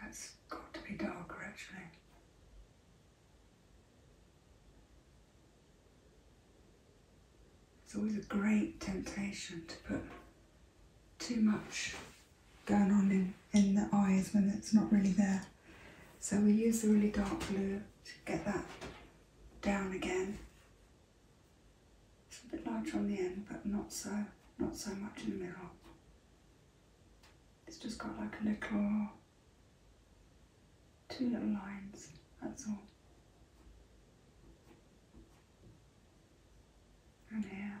that's got to be darker actually. It's always a great temptation to put too much going on in the eyes when it's not really there. So we use the really dark blue to get that down again. It's a bit larger on the end, but not so, not so much in the middle. It's just got like a little, two little lines, that's all. And here.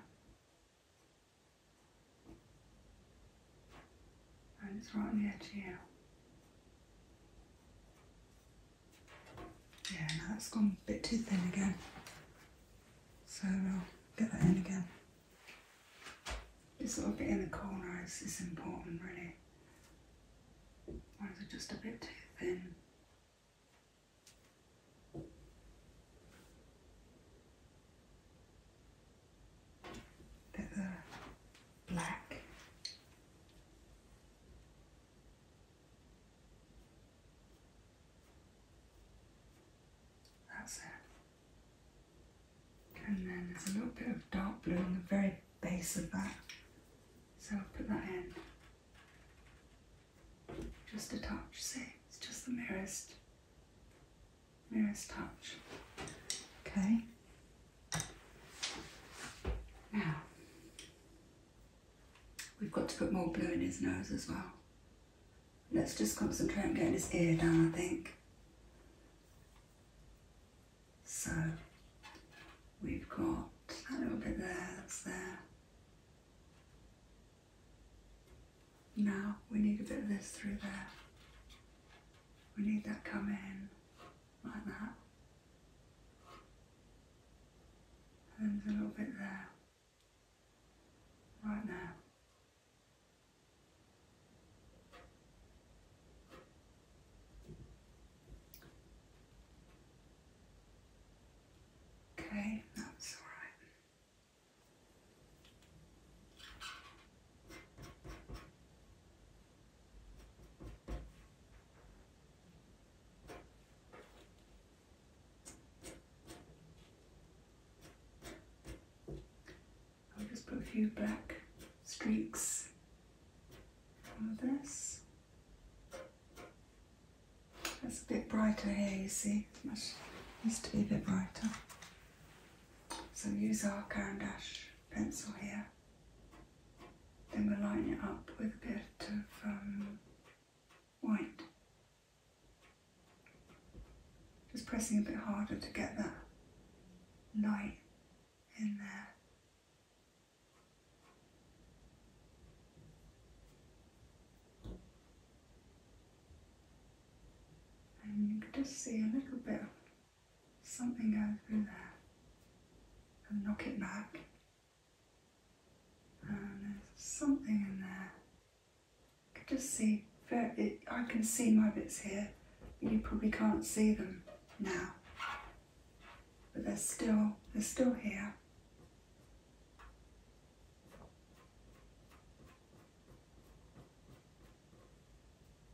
And it's right on the edge here. Yeah, now that's gone a bit too thin again. So we'll get that in again. This little bit in the corner is, is important really. Or is it just a bit too thin bit of black. That's it. And then there's a little bit of dark blue on the very base of that. So I'll put that in. Just a touch, see? It's just the merest, merest touch. Okay, now, we've got to put more blue in his nose as well. Let's just concentrate on getting his ear down, I think. So, we've got a little bit there, that's there. Now, we need a bit of this through there. We need that come in like that. And a little bit there, right now. Okay, that's all right. I'll just put a few black streaks on this. That's a bit brighter here, you see. It much needs to be a bit brighter. So use our Caran d'Ache pencil here. Then we'll line it up with a bit of um, white. Just pressing a bit harder to get that light in there. And you can just see a little bit something go through there and knock it back. And there's something in there. I could just see, I can see my bits here, but you probably can't see them now. But they're still, they're still here.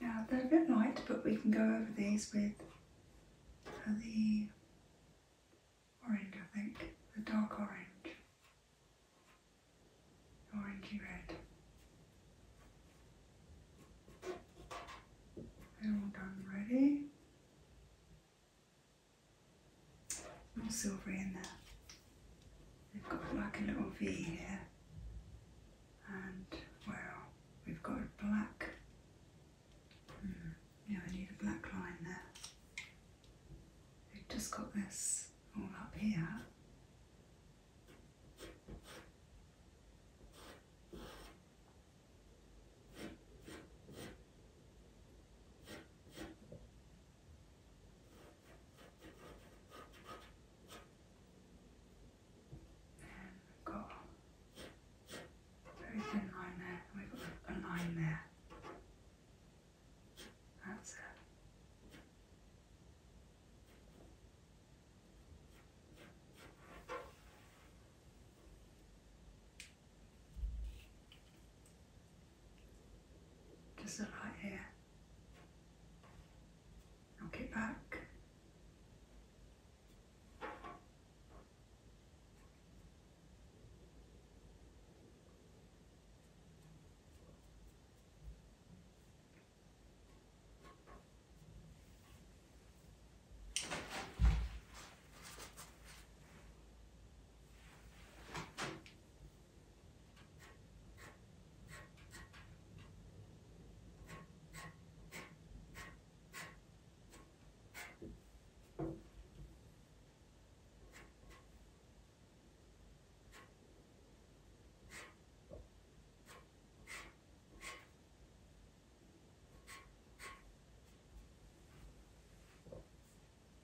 Now they're a bit light, but we can go over these with uh, the orange, I think, the dark orange, orangey red. they all done ready. More silvery in there. They've got like a little V here and well, we've got black, hmm, yeah, I need a black line there. We've just got this all up here. And we've got very thin line there, and we've got a line there. That's it. Just a light here. Rock it back.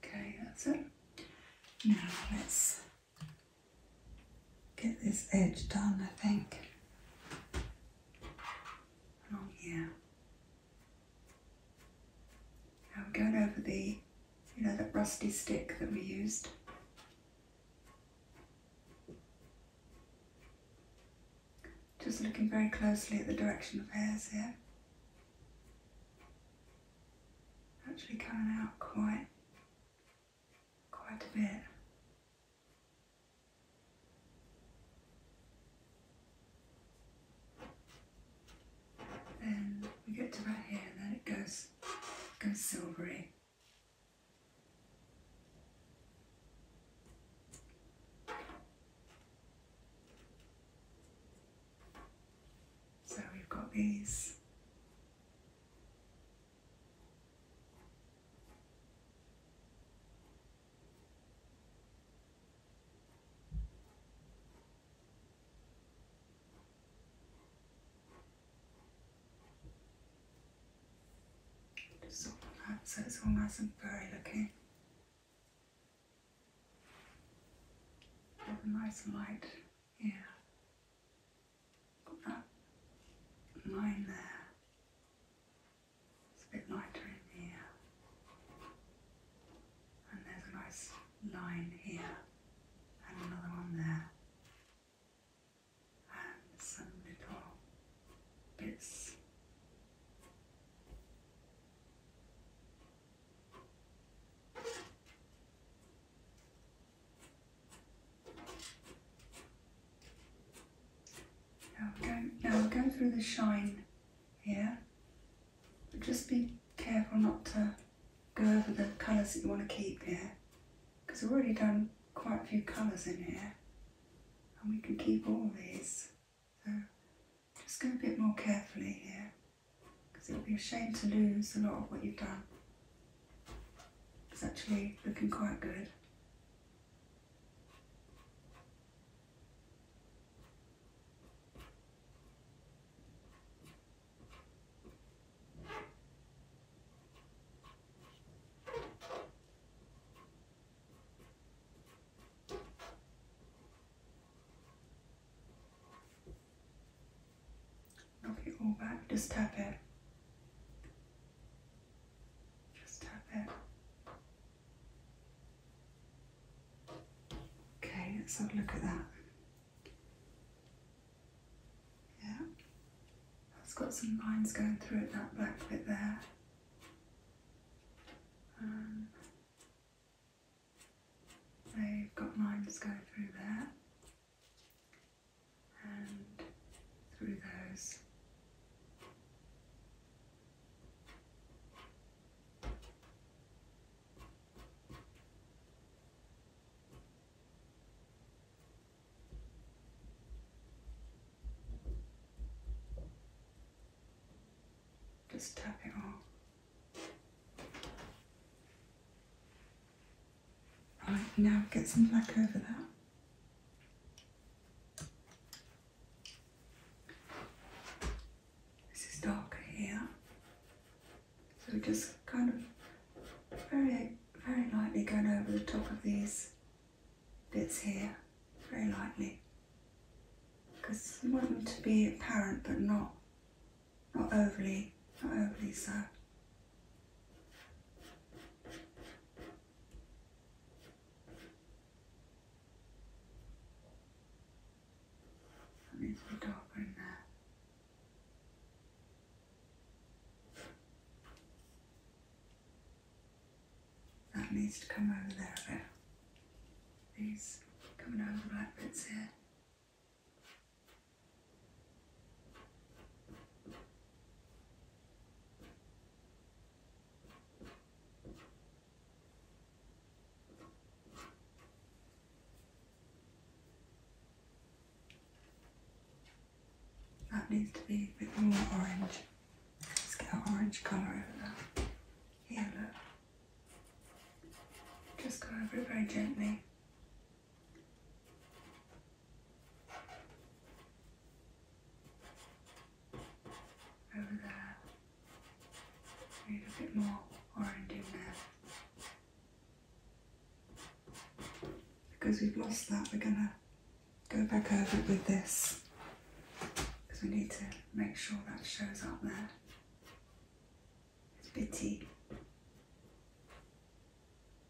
Okay, that's it. Now let's get this edge done, I think. Oh yeah. I'm going over the, you know, that rusty stick that we used. Just looking very closely at the direction of hairs here. Actually coming out quite quite a bit. Then we get to about here and then it goes, goes silvery. So we've got these just that so it's all nice and furry looking. nice and light, yeah. Got that line there. It's a bit lighter in here. And there's a nice line here and another one there. And some little bits. Now we go, now we go through the shine yeah. but just be careful not to go over the colours that you want to keep here, because we've already done quite a few colours in here, and we can keep all these. So just go a bit more carefully here, because it would be a shame to lose a lot of what you've done. It's actually looking quite good. Okay, go back. Just tap it. Just tap it. Okay, let's have a look at that. Yeah, that's got some lines going through it, that black bit there. Um, they've got lines going through there and through those. Just tap it all. Right, now get some black over that. This is darker here. So we're just kind of very, very lightly going over the top of these bits here, very lightly. Because you want them to be apparent but not, not overly, not overly so. Something's been darker there. That needs to come over there a bit. These coming over black bits here. That needs to be a bit more orange. Let's get an orange colour over that. Here, look. Just go over it very gently. Over there. need a bit more orange in there. Because we've lost that, we're gonna go back over it with this. Because we need to make sure that shows up there. It's bitty.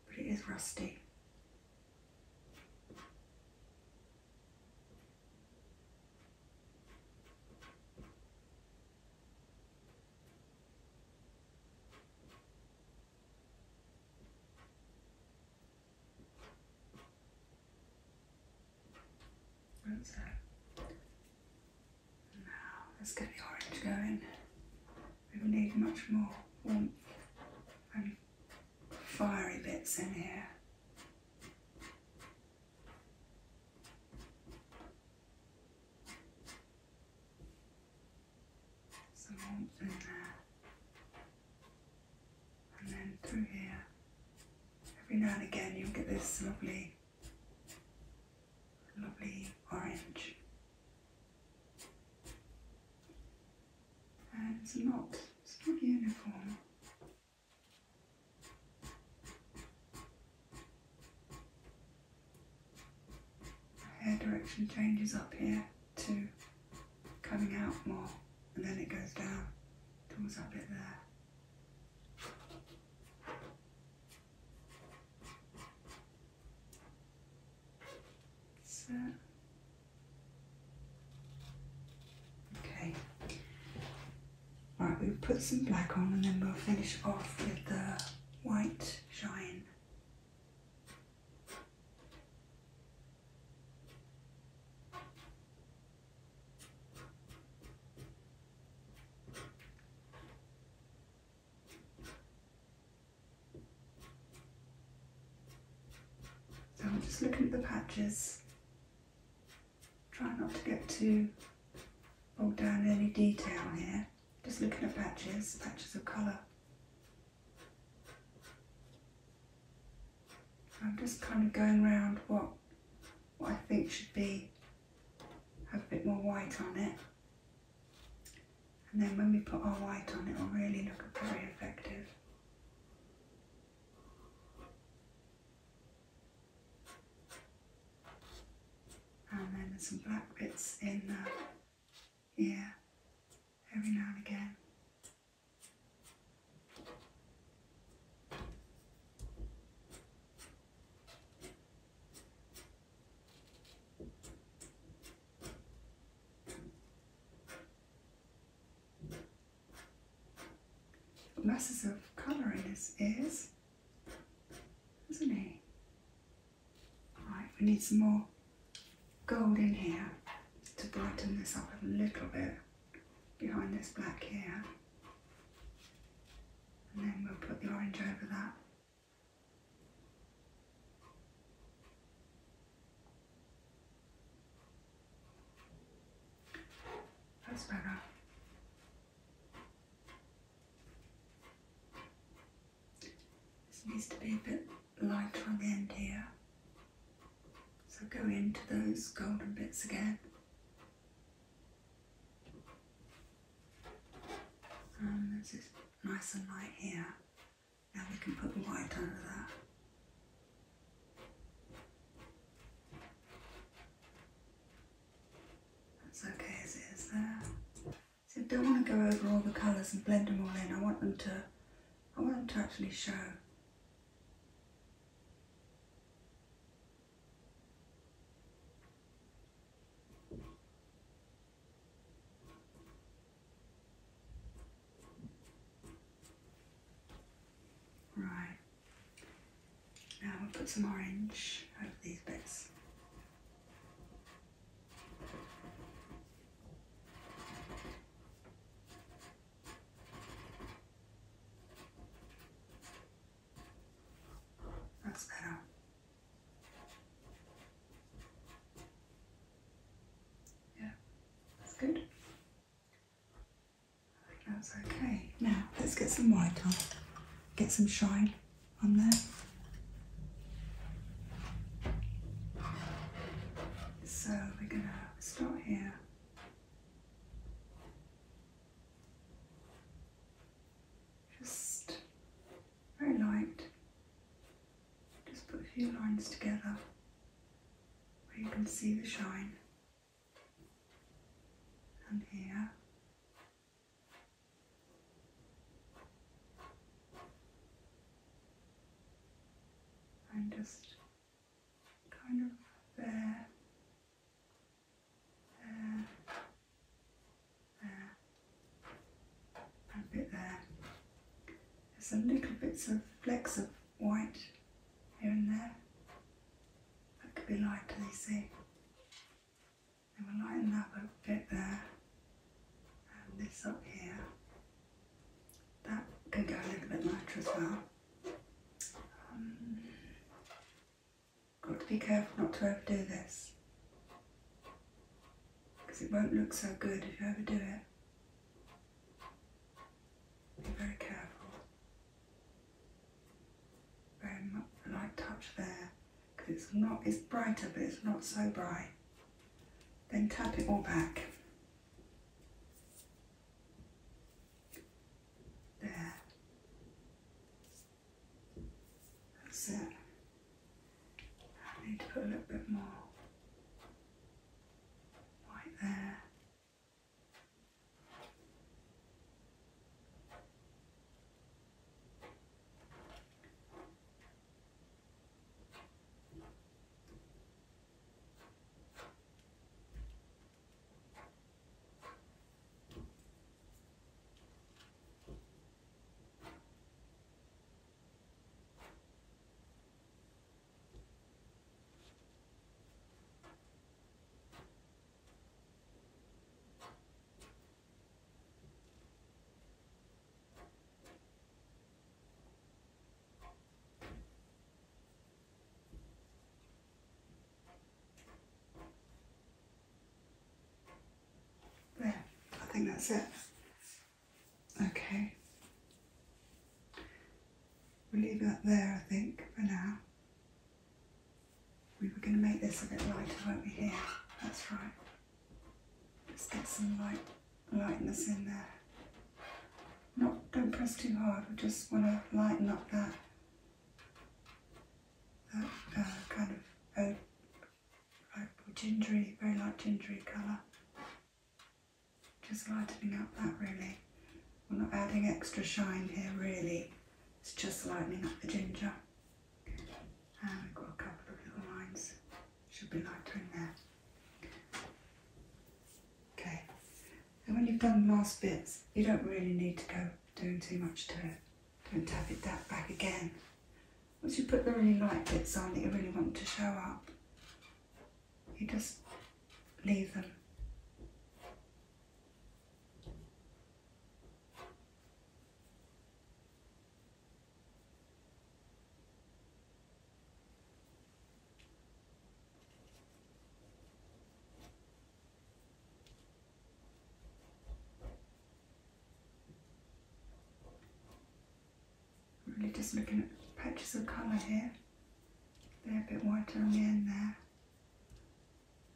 But it is rusty. What's that? No, there's going orange going we will need much more warmth and fiery bits in here. Some warmth in there. And then through here. Every now and again you'll get this lovely, lovely orange and uh, it's not, it's not uniform. Hair direction changes up here to coming out more and then it goes down towards a bit there. So. Okay. Right, we'll put some black on and then we'll finish off with the white shine. So I'm just looking at the patches, try not to get too bogged down in any detail here, just looking at patches, patches of colour. I'm just kind of going around what, what I think should be, have a bit more white on it. And then when we put our white on, it will really look very effective. And then there's some black bits in there, here every now and again. Masses of colour in his ears, isn't he? Right, we need some more gold in here to brighten this up a little bit behind this black hair, And then we'll put the orange over that. That's better. This needs to be a bit lighter on the end here. So go into those golden bits again. this is nice and light here. Now we can put the white under that. That's okay as it is there. So I don't want to go over all the colours and blend them all in. I want them to, I want them to actually show. Right, now we'll put some orange over these bits. That's better. Yeah, that's good. I think okay. Now let's get some white on. Get some shine on there. So we're gonna start here. Just very light. Just put a few lines together where you can see the shine. And here. And just kind of there, there, there, bit there. There's some little bits of flecks of white here and there. That could be lighter, you see. And we'll lighten that bit there, and this up here. That could go a little bit lighter as well. Um, got to be careful not to overdo this because it won't look so good if you ever do it. Be very careful. Very much light touch there because it's not, it's brighter but it's not so bright. Then tap it all back. There. That's it. I need to put a little bit more right there. I think that's it. Okay. We'll leave that there, I think, for now. We were going to make this a bit lighter, weren't we, here? That's right. Let's get some light, lightness in there. Not, don't press too hard, we just want to lighten up that, that uh, kind of uh, gingery, very light gingery colour. Just lightening up that really. We're not adding extra shine here really. It's just lightening up the ginger. And we've got a couple of little lines. Should be lighter in there. Okay. And when you've done the last bits, you don't really need to go doing too much to it. Don't tap it that back again. Once you put the really light bits on that you really want to show up, you just leave them really just looking at patches of colour here. They're a bit whiter on the end there.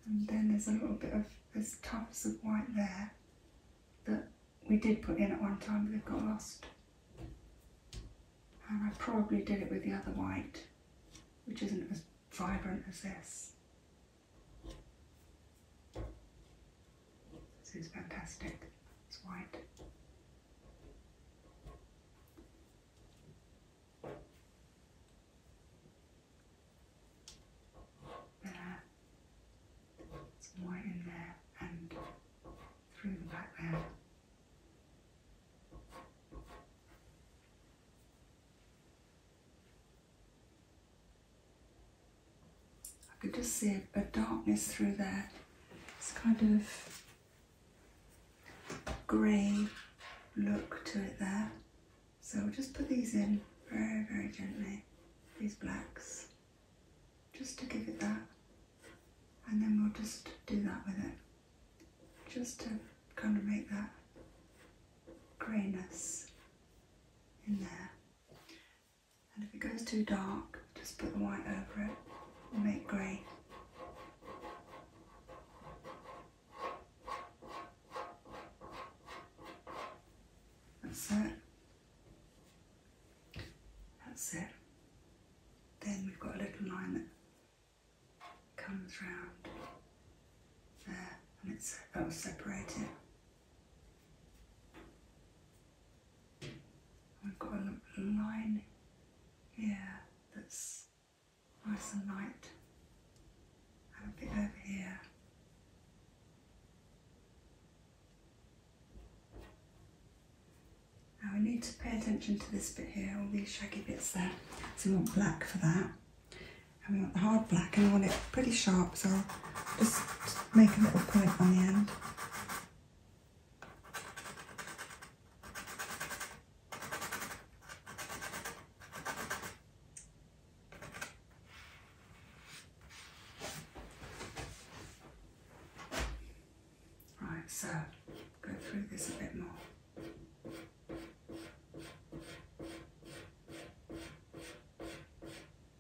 And then there's a little bit of, there's tufts of white there that we did put in at one time but they've got lost. And I probably did it with the other white, which isn't as vibrant as this. This is fantastic. It's white. There. Some white in there and through the back I could just see a, darkness through there. It's kind of grey look to it there. So we'll just put these in very, very gently, these blacks, just to give it that. And then we'll just do that with it, just to kind of make that greyness in there. And if it goes too dark, just put the white over it and make grey. That's it. That's it. Then we've got a little line that comes round there and it's, that will separate it. I've got a line here that's nice and light, and a bit over here. Now we need to pay attention to this bit here, all these shaggy bits there. So we want black for that. And we want the hard black and we want it pretty sharp, so just make a little point on the end. Right, so go through this a bit more.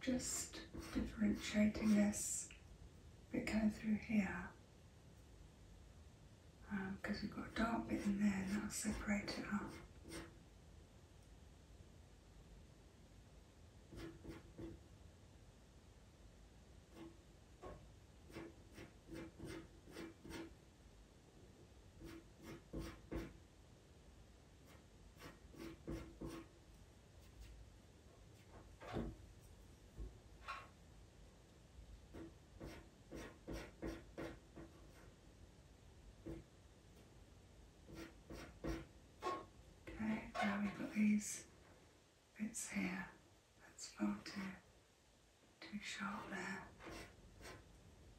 Just differentiating this bit going through here because um, we've got a dark bit in there and that'll separate it up. Okay, now we've got these bits here. That's far too, too sharp there.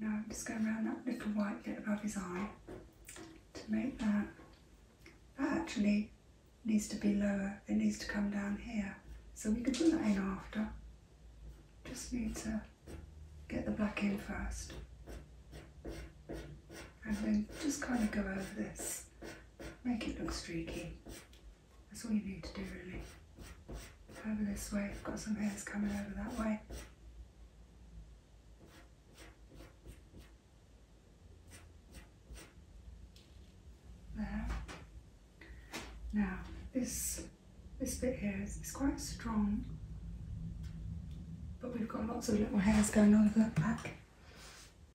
Now I'm just going around that little white bit above his eye to make that. That actually needs to be lower, it needs to come down here. So we can put that in after. Just need to get the black in first. And then just kind of go over this. Make it look streaky. That's all you need to do really. Over this way, I've got some hairs coming over that way. There. Now this this bit here is, quite strong, but we've got lots of little hairs going on the back.